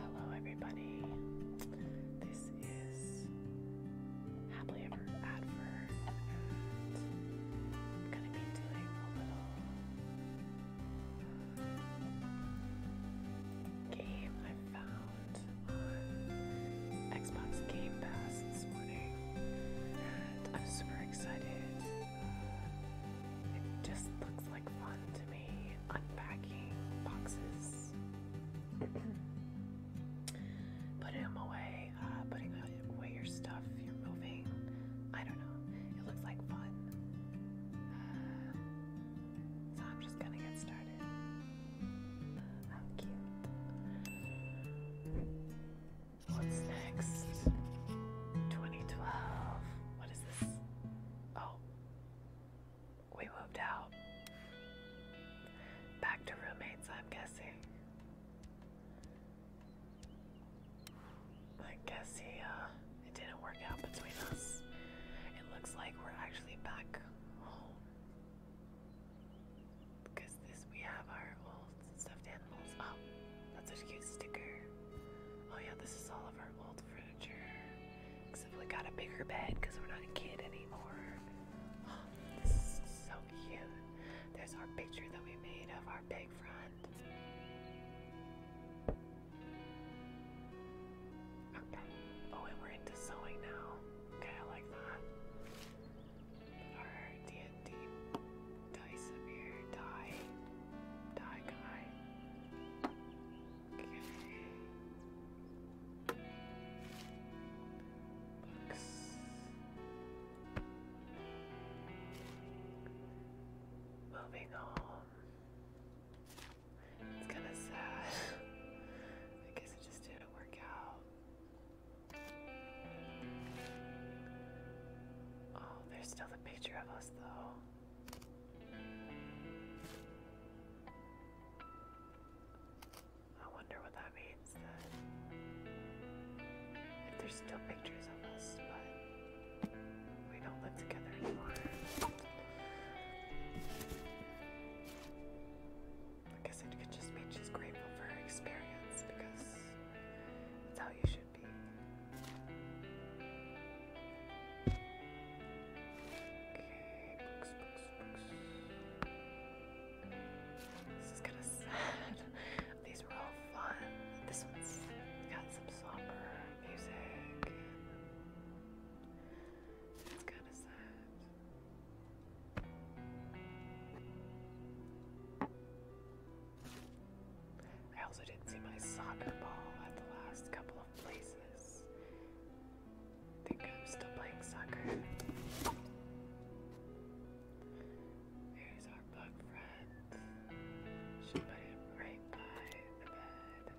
Hello, everybody. This is Happily Ever Advert, I'm gonna be doing a little game I found on Xbox Game Pass this morning, and I'm super excited. Uh, it just looks like fun to me unpacking boxes, putting them away, uh, putting them weigh your stuff, you're moving. I don't know. It looks like fun. Uh, so I'm just gonna get started. How cute. What's next? 2012. What is this? Oh. We moved out. Back to roommates, I'm guessing. I guess he, uh, it didn't work out between us. It looks like we're actually back home. Because we have our old stuffed animals. Oh, that's a cute sticker. Oh yeah, this is all of our old furniture. Except we got a bigger bed because we're not a kid anymore. Oh, this is so cute. There's our picture that we made of our big fry. Okay. Oh, and we're into sewing now. Okay, I like that. Our D&D Dysomir die. Die guy. Okay. Books moving on. It's kind of sad. I guess it just didn't work out. Oh, there's still the picture of us, though. I wonder what that means then. If there's still pictures of us, but. We don't live together anymore. I guess it could just be just grateful for her experience because that's how you should be. Okay, books, books, books. This is kind of sad. These were all fun. This one's got some somber music. It's kind of sad. I also didn't see my soccer ball at the last couple of places. I think I'm still playing soccer. our block front. She put it right by the bed.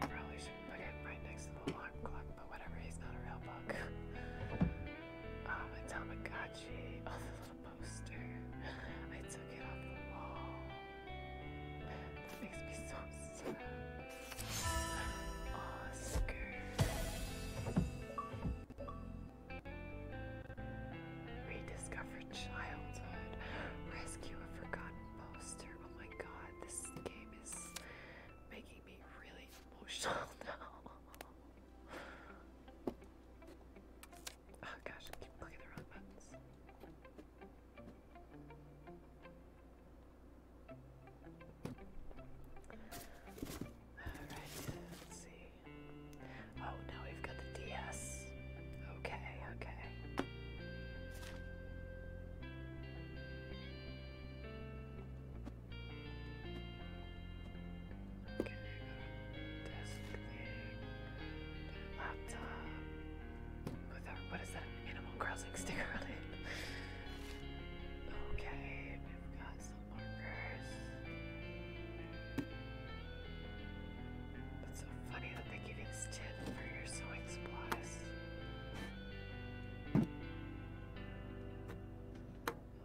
Probably shouldn't put it right next to the alarm clock, but whatever, he's not a real book. um, a Tamagotchi, oh, the little poster. I took it off the wall. That makes me so sad. Oscar. Rediscover childhood. Rescue a forgotten poster. Oh my god, this game is making me really emotional now. Oh gosh, keep clicking the wrong buttons. Alright, let's see. Oh, now we've got the DS. Okay, okay. Okay, got a desk thing, laptop what is that? Animal Crossing sticker on it. Okay, we've got some markers. It's so funny that they give you this tin for your sewing supplies.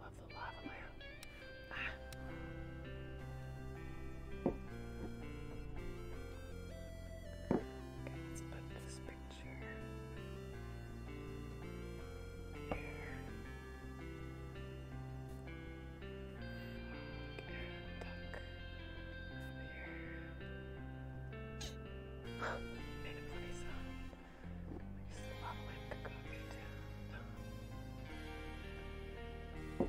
Love the lava layer. Okay, let's put this picture there. Duck over here. Made a funny sound. There's a lot of wind to down.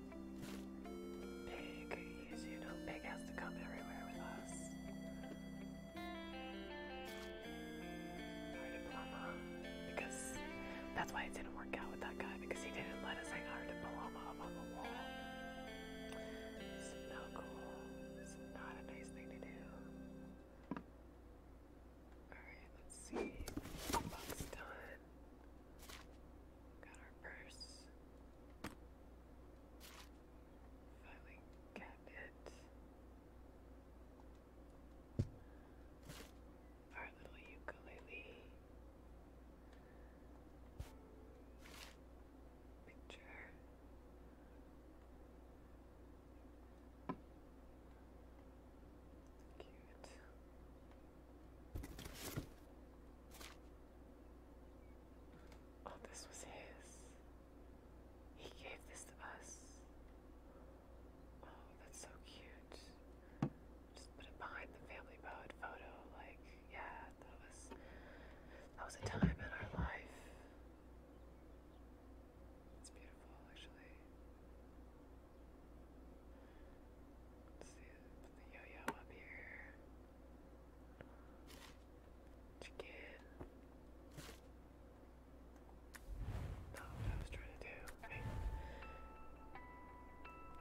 Pig, you know, Pig has to come everywhere with us. Our diploma, because that's why it didn't work out with that guy, because he didn't let us hang our diploma up on the wall. It's not cool. It's not a nice thing to do. Alright, let's see. Box done. Got our purse. Filing cabinet. Our little ukulele. Picture. Cute. Oh, this was his. He gave this to us. Oh, that's so cute. Just put it behind the family pod photo. Like, yeah, that was that was a time in our life. It's beautiful, actually. see it the yo-yo up here. Chicken. Not what I was trying to do.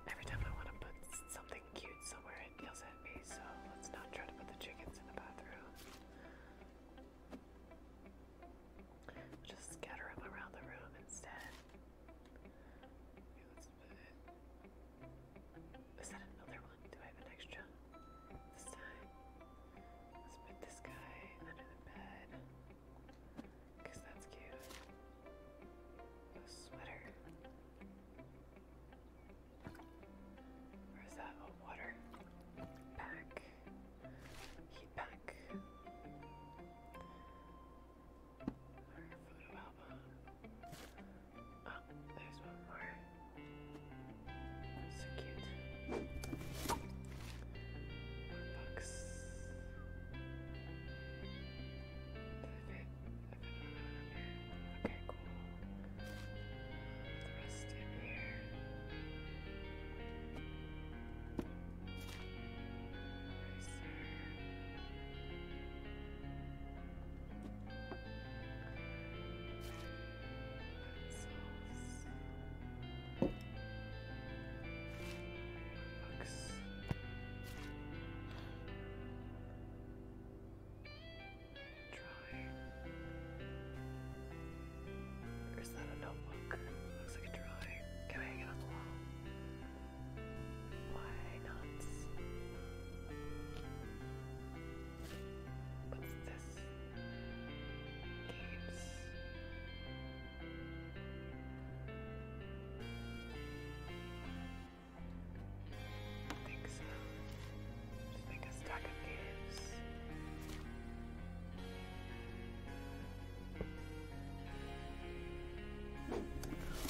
Every time I want to put something cute somewhere, it yells at me, so let's not try to put the chickens in the bathroom. Just scatter them around the room instead is that another one? Do I have an extra this time? put this guy under the bed because that's cute. A sweater. Or that water pack? Heat pack. Her Oh, there's one more. So cute. More books. Okay, cool. The in here. Or is that notebook? Looks like a drawing. Can I hang it on the wall? Why not? What's this? Games. I think so. Just make a stack of games.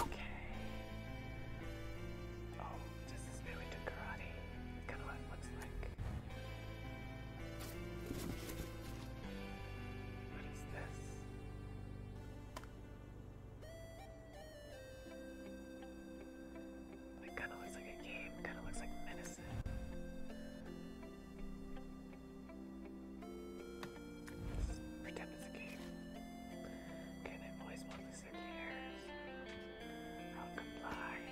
Okay. Oh, this is really good karate. Kind of what it looks like. What is this? It kind of looks like a game. Kind of looks like medicine. pretend it's a game. Okay, I've always wanted messengers from goodbye.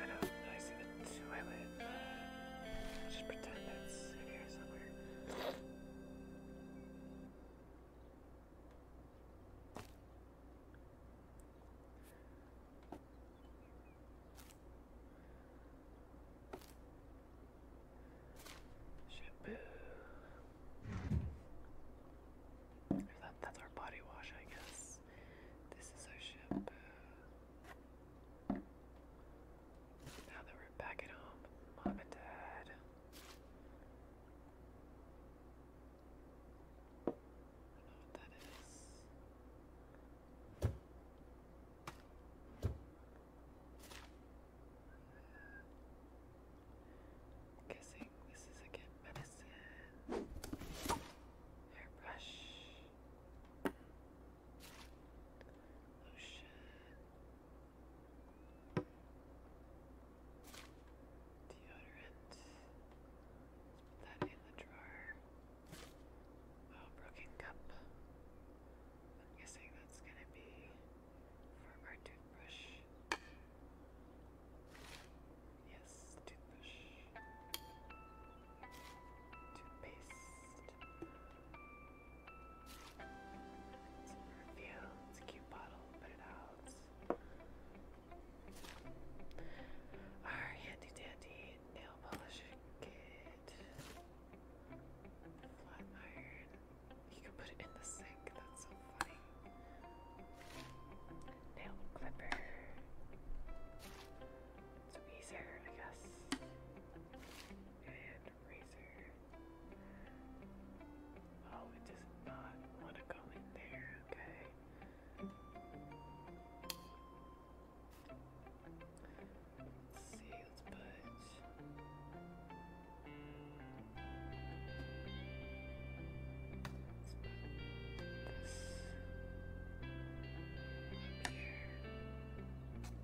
I don't I see the toilet. I'll just pretend that's in here somewhere. Shampoo. That, that's our body wash, I guess. This is our shampoo. Now that we're back at home, mom and dad. I know what that is. Kissing, this is again medicine. Hairbrush. Lotion. Deodorant. put that in the drawer. Oh, broken cup. I'm guessing that's gonna be for our toothbrush. Yes, toothbrush. Toothpaste. It's a perfume. It's a cute bottle. Put it out. Our handy dandy nail polish kit. Flat iron. You can put it in the sink. That's so funny. Nail clipper. So easier, I guess. And razor. Oh, it does not want to go in there. Okay. Let's see, let's put. this up here.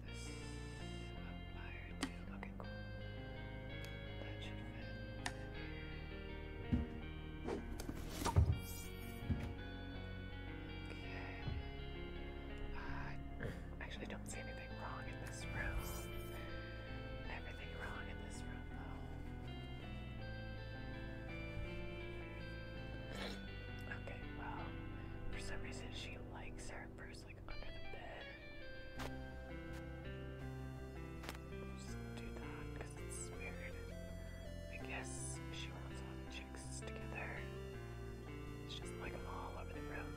This up higher too. Okay, cool. That should fit. Okay. Uh, Actually, don't see anything wrong in this room. Everything wrong in this room, though. Okay, well, for some reason she likes her purse like under the bed. Just do that because it's weird. I guess she wants all the chicks together. She does like them all over the room.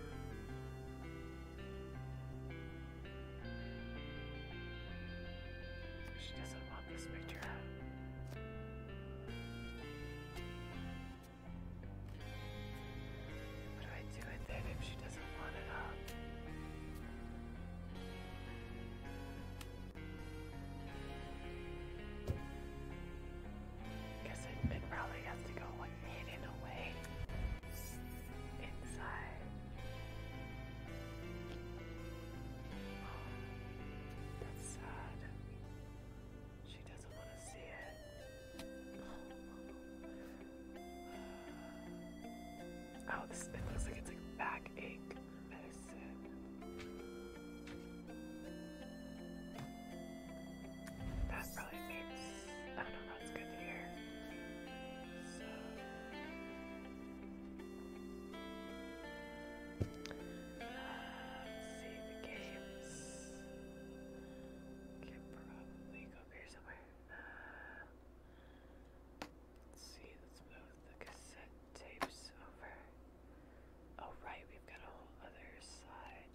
She doesn't want this picture. What do I do with it if she doesn't want it Guess admit probably has to go one away. Inside. that's sad. She doesn't want to see it. oh this it looks like it's like backache medicine. That probably means I don't know that's good to hear. let's see the games. Can probably go here somewhere. let's see, let's move the cassette tapes over. Oh right, we've got a other side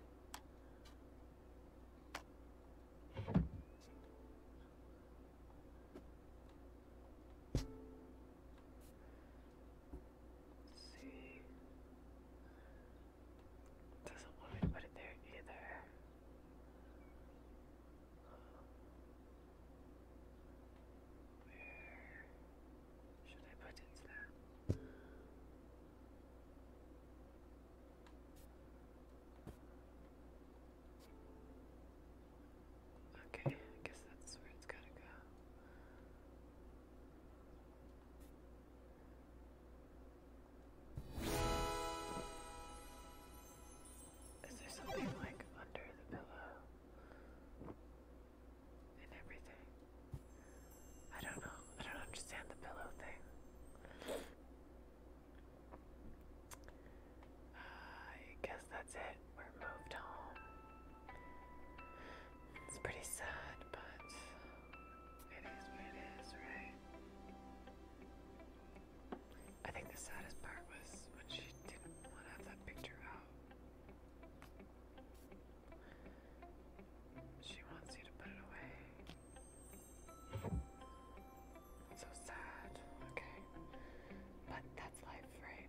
see. Doesn't want me to put it there either. Where should I put it then? Okay, I guess that's where it's gotta go. Is there something like under the pillow and everything? I don't know. I don't understand the pillow thing. I guess that's it. We're moved home. It's pretty sad, but it is what it is, right? I think the saddest part was when she didn't want that picture out. She wants you to put it away. So sad. Okay. But that's life, right?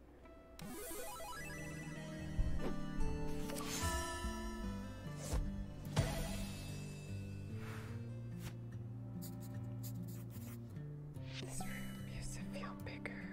This room used to feel bigger.